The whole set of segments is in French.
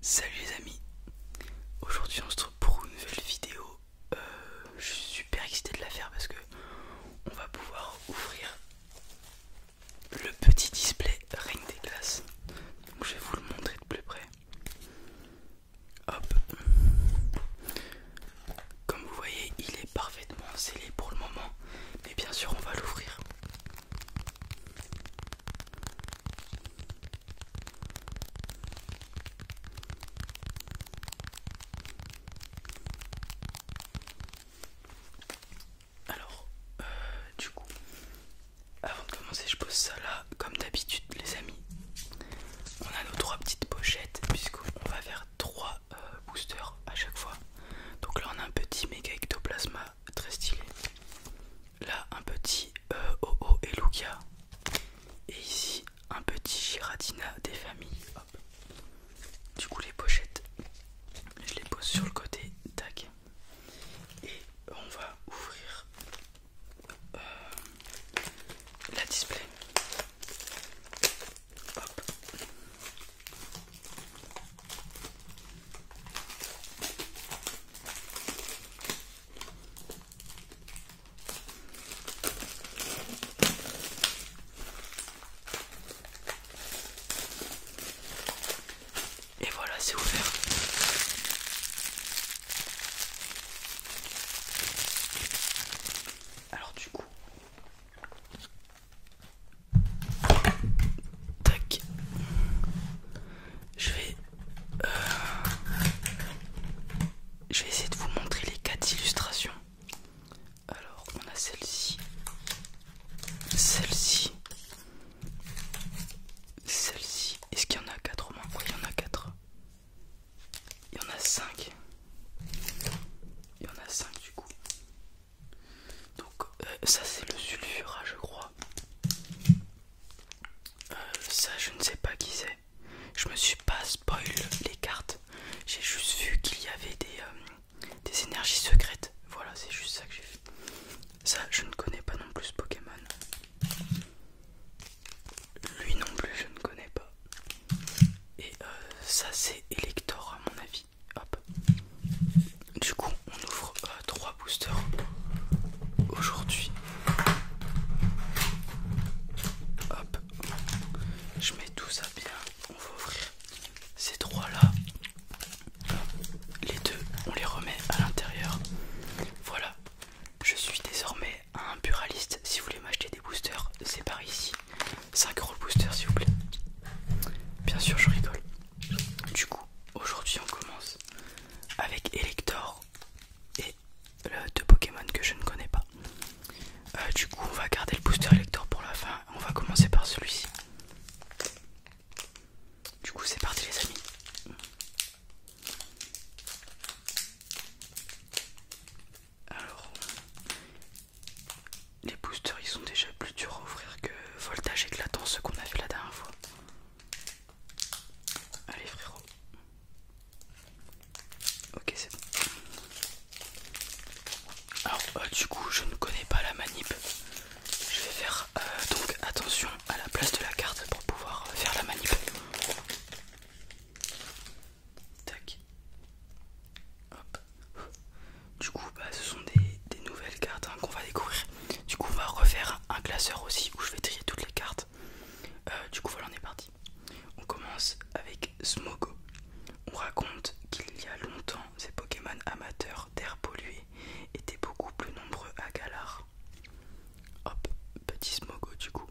Salut les amis, aujourd'hui on se retrouve pour une nouvelle vidéo. Euh, je suis super excité de la faire parce que on va pouvoir ouvrir le petit display Ring des Glaces. je vais vous le montrer de plus près. Hop, comme vous voyez, il est parfaitement scellé pour le moment, mais bien sûr on va l'ouvrir. Alors, euh, du coup, avant de commencer, je pose ça là, comme d'habitude, les amis. On a nos trois petites pochettes, puisqu'on va faire trois euh, boosters à chaque fois. Donc là, on a un petit méga ectoplasma très stylé. Là, un petit euh, OO oh, oh, et Luca. Et ici, un petit Giratina des familles. Du coup, les pochettes, je les pose sur le côté. Tac. Et on va ouvrir euh, la display. Et voilà, c'est ouvert. Alors du coup, Tac. Je vais, euh, je vais essayer de vous montrer les quatre illustrations. Alors, on a celle-ci, celle-ci, celle-ci. Est-ce qu'il y en a quatre au moins il y en a quatre. Il y en a cinq. Il y en a cinq du coup. Donc euh, ça c'est le sulfura je crois. Euh, ça je ne sais pas qui c'est. Je me suis pas spoil les cartes. J'ai juste vu qu'il y avait des, euh, énergies secrètes. Voilà c'est juste ça que j'ai fait. Ça je ne connais pas non plus Pokémon. Lui non plus je ne connais pas. Et ça c'est Elector à mon avis. Hop. Du coup, on ouvre 3 euh, trois boosters aujourd'hui. Hop. Je mets tout ça bien. On va ouvrir ces trois là. Les deux, on les remet à l'intérieur. Voilà. Je suis désormais un buraliste. Si vous voulez m'acheter des boosters, c'est par ici. 5 roll booster s'il vous plaît. Bien sûr je rigole. Du coup, aujourd'hui on commence avec Elector et deux Pokémon que je ne connais pas. Euh, du coup on va garder le booster Elector pour la fin. On va commencer par celui-ci. Du coup c'est parti les amis. Alors, les boosters ils sont déjà plus durs à ouvrir que voltage éclatant, ceux qu'on a vu la dernière fois. Allez frérot. Ok c'est bon. Alors oh, du coup je ne connais pas la manip. Je vais faire euh, donc attention à la place de la carte pour pouvoir faire la manip. Du coup, bah, ce sont des, nouvelles cartes hein, qu'on va découvrir. Du coup, on va refaire un classeur aussi où je vais trier toutes les cartes. Euh, du coup, voilà, on est parti. On commence avec Smogo. On raconte qu'il y a longtemps, ces Pokémon amateurs d'air pollué étaient beaucoup plus nombreux à Galar. Hop, petit Smogo du coup.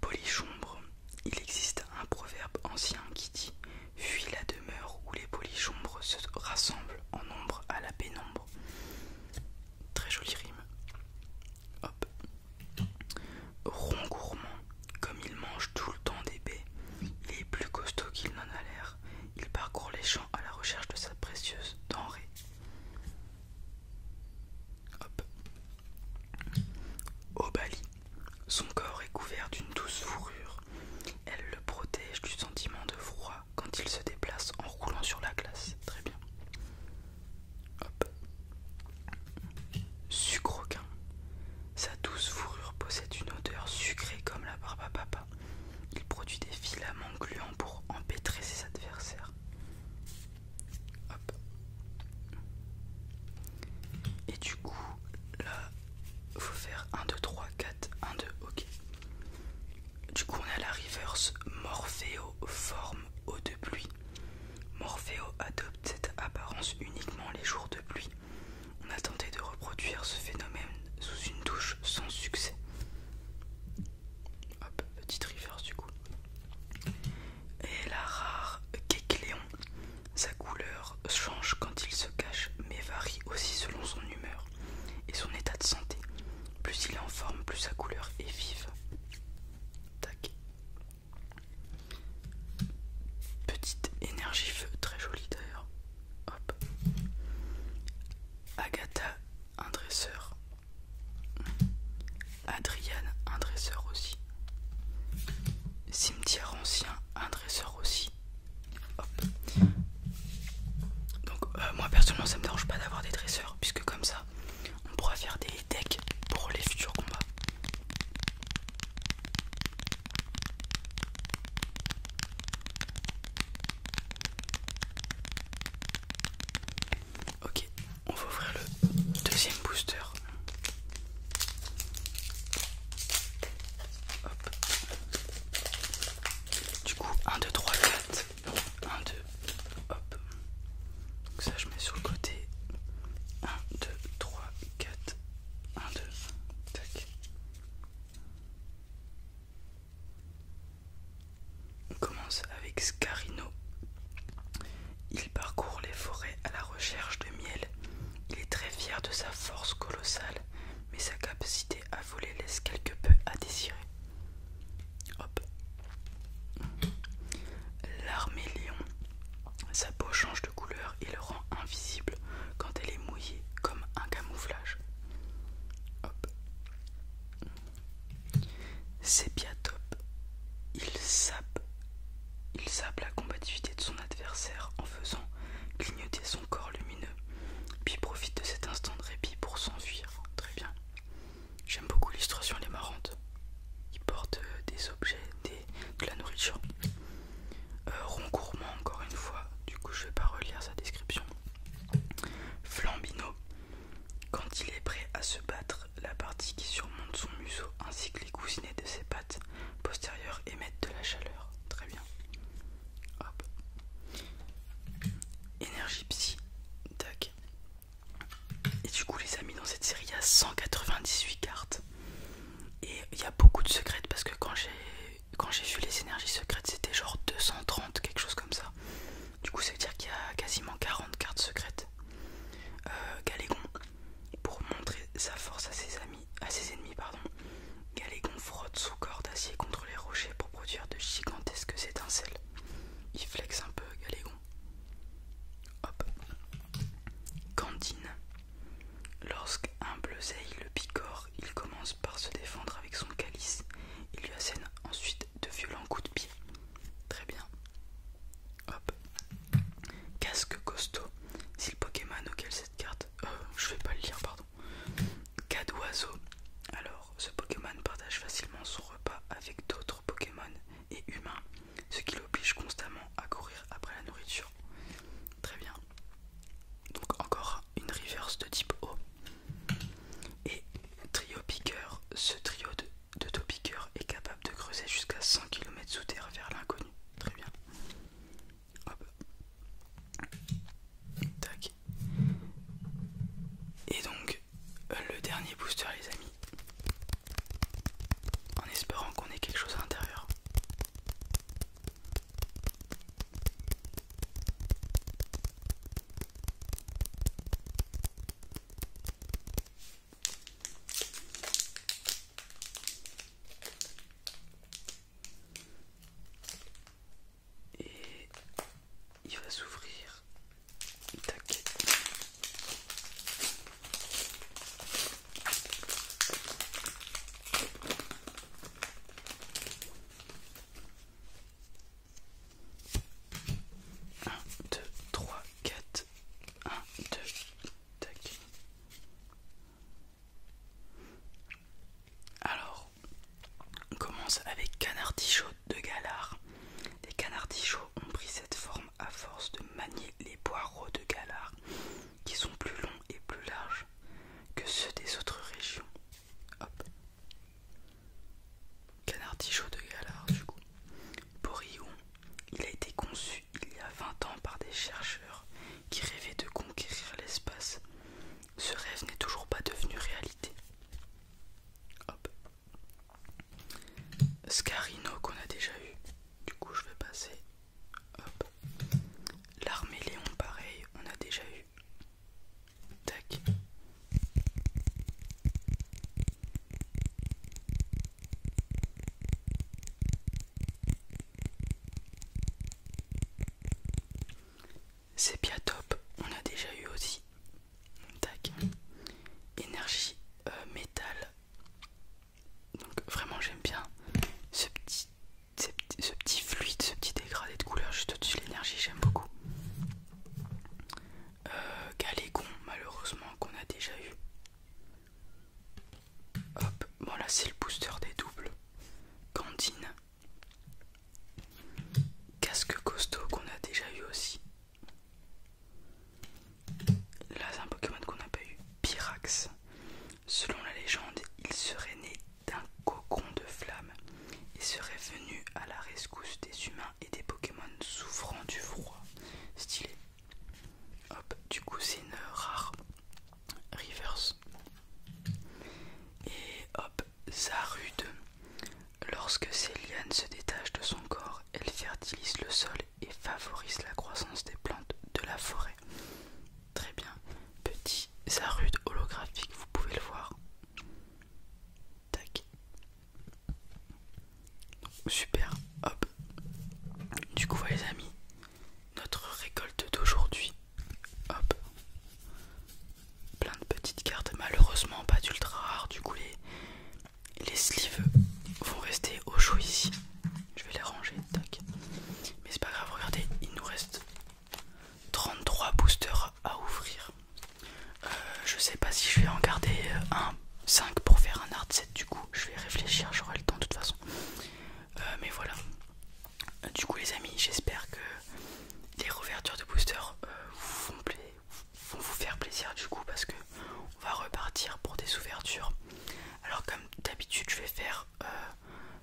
Polichombre, il existe un proverbe ancien qui dit Fuis la demeure où les polichombres se rassemblent en nombre à la pénombre. Très jolie rime. Hop. gourmand, comme il mange tout le temps des baies, il est plus costaud qu'il n'en a l'air. Il parcourt les champs à la recherche de sa précieuse denrée. Hop. Au son corps est couvert d'une douce fourrure. Elle le protège du sentiment de froid quand il se déplace en roulant sur la glace. Très bien. Hop. Sucroquin. Sa douce fourrure possède une odeur sucrée comme la barbe à papa. Il produit des filaments gluants pour empêtrer ses adversaires. Et du coup, là, il faut faire 1, 2, 3, 4, 1, 2, ok. Du coup, on a la reverse Morpheo forme eau de pluie. Morpheo adopte cette apparence uniquement les jours de pluie. On a tenté de reproduire ce phénomène sous une douche sans succès. Hop, petite reverse du coup et la rare Kekléon. Sa couleur change quand il se cache, mais varie aussi selon son humeur et son état de santé. Plus il est en forme, plus sa couleur est vive. Tac. Petite énergie feu, très jolie d'ailleurs. Hop. Agatha, un dresseur Adrien, un dresseur aussi. Cimetière ancien, un dresseur aussi. Donc euh, moi personnellement ça me dérange pas d'avoir des dresseurs puisque comme ça on pourra faire des decks pour les futurs combats. Ok, on va ouvrir le deuxième booster. Hop. Du coup, 1, 2, 3, 4. 1, 2, hop. Donc ça, je mets sur le côté. 1, 2, 3, 4. 1, 2, tac. On commence avec Scarino. Il parcourt les forêts à la recherche de miel. Il est très fier de sa force colossale, mais sa capacité à voler laisse quelque peu à désirer. Hop. L'armée lion. Sa peau change de couleur et le rend invisible quand elle est mouillée comme un camouflage. Hop. C'est top. Il sape, il la combativité de son adversaire en faisant clignoter son corps lumineux, puis profite de cet instant de répit pour s'enfuir. Très bien. J'aime beaucoup l'illustration, elle est marrante. Il porte des objets, des, de la nourriture. Euh, encore une fois, du coup je vais pas relire sa description. Flambino, quand il est prêt à se battre, la partie qui surmonte son museau ainsi que les cousinets de ses pattes postérieures émettent de la chaleur. Très bien. Hop. Énergie psy. Tac. Et du coup, les amis, dans cette série, il y a 198 cartes. Et il y a beaucoup de secrètes parce que quand j'ai vu les énergies secrètes, c'était genre 230, quelque chose comme ça. Du coup, ça veut dire qu'il y a quasiment 40 cartes secrètes. Euh, Galégon, pour montrer sa force à ses amis, à ses ennemis, pardon, Galégon frotte son corps d'acier contre les rochers pour produire de gigantesques étincelles. Il flexe un peu, Galégon. Hop. Candine. Lorsqu'un bleuzeille le picore, il commence par se défendre avec son calice. Il lui assène ensuite de violents coups de pied. Très bien. Hop. Casque costaud. C'est le Pokémon auquel cette carte... Je euh, je vais pas le lire, pardon. Cas d'oiseau. Alors, ce Pokémon partage facilement son repas avec d'autres Pokémon et humains, ce qui l'oblige constamment à courir après la nourriture. Très bien. Donc encore une reverse de type O. Et trio piqueur, ce trio de, de est capable de creuser jusqu'à 100 km sous terre vers l'inconnu. Très bien. Tac. Et donc, euh, le dernier booster, les amis. En espérant qu'on ait quelque chose à l'intérieur. Et il va s'ouvrir. Tac. 1, 2, 3, 4, 1, 2, tac. Alors, on commence avec canardichot de Galard. Les canardichaux ont pris cette forme à force de manier les poireaux de Galard, qui sont plus longs et plus larges que ceux des autres régions. Hop. Canard de Galard, du coup. Borillon, il a été conçu il y a 20 ans par des chercheurs qui rêvaient de conquérir l'espace. Ce rêve n'est toujours pas devenu réalité. Hop. Scarino qu'on a déjà eu. Du coup, je vais passer. L'armée Léon, pareil, on a déjà eu. Tac. C'est bien top, on a déjà eu aussi. Tac. Énergie euh, métal. Donc vraiment j'aime bien ce petit ce petit fluide, ce petit dégradé de couleur juste au-dessus de l'énergie, j'aime beaucoup. Euh, Galégon, malheureusement, qu'on a déjà eu. Hop, bon là c'est le booster des doubles. Candine. Casque costaud qu'on a déjà eu aussi. Là c'est un Pokémon qu'on n'a pas eu. Pyrax. Selon la légende, il serait né d'un cocon de flammes et serait venu à la rescousse des humains et des Pokémon souffrant du froid. Stylé. Hop, du coup c'est une rare. Rivers Et hop, Zarude. Lorsque ses lianes se détachent de son corps, elles fertilisent le sol et favorisent la croissance des plantes de la forêt. Très bien. Petit rude holographique, vous pouvez le voir. Tac. Super. Hop. Du coup, les amis, notre récolte d'aujourd'hui. Hop. Plein de petites cartes. Malheureusement, pas d'ultra rare. Du coup, les, les vont rester au chaud ici. Je vais les ranger, tac. Mais c'est pas grave, regardez, il nous reste 33 boosters à ouvrir. Euh, je sais pas si je vais en garder euh, un 5 pour faire un art set du coup. Je vais réfléchir, j'aurai le temps de toute façon. Euh, mais voilà. Du coup les amis, j'espère que les rouvertures de boosters vont vous faire plaisir du coup parce que on va repartir pour des ouvertures alors comme d'habitude je vais faire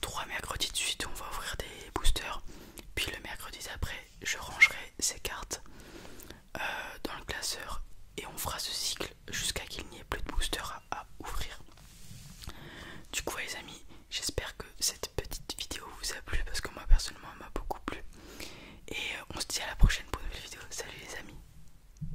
3 euh, mercredis de suite où on va ouvrir des boosters. Puis le mercredi après, je rangerai ces cartes euh, dans le classeur et on fera ce cycle jusqu'à qu'il n'y ait plus de boosters à ouvrir. Du coup les amis j'espère que cette petite vidéo vous a plu parce que moi personnellement elle m'a beaucoup plu. Et euh, on se dit à la prochaine pour une nouvelle vidéo. Salut les amis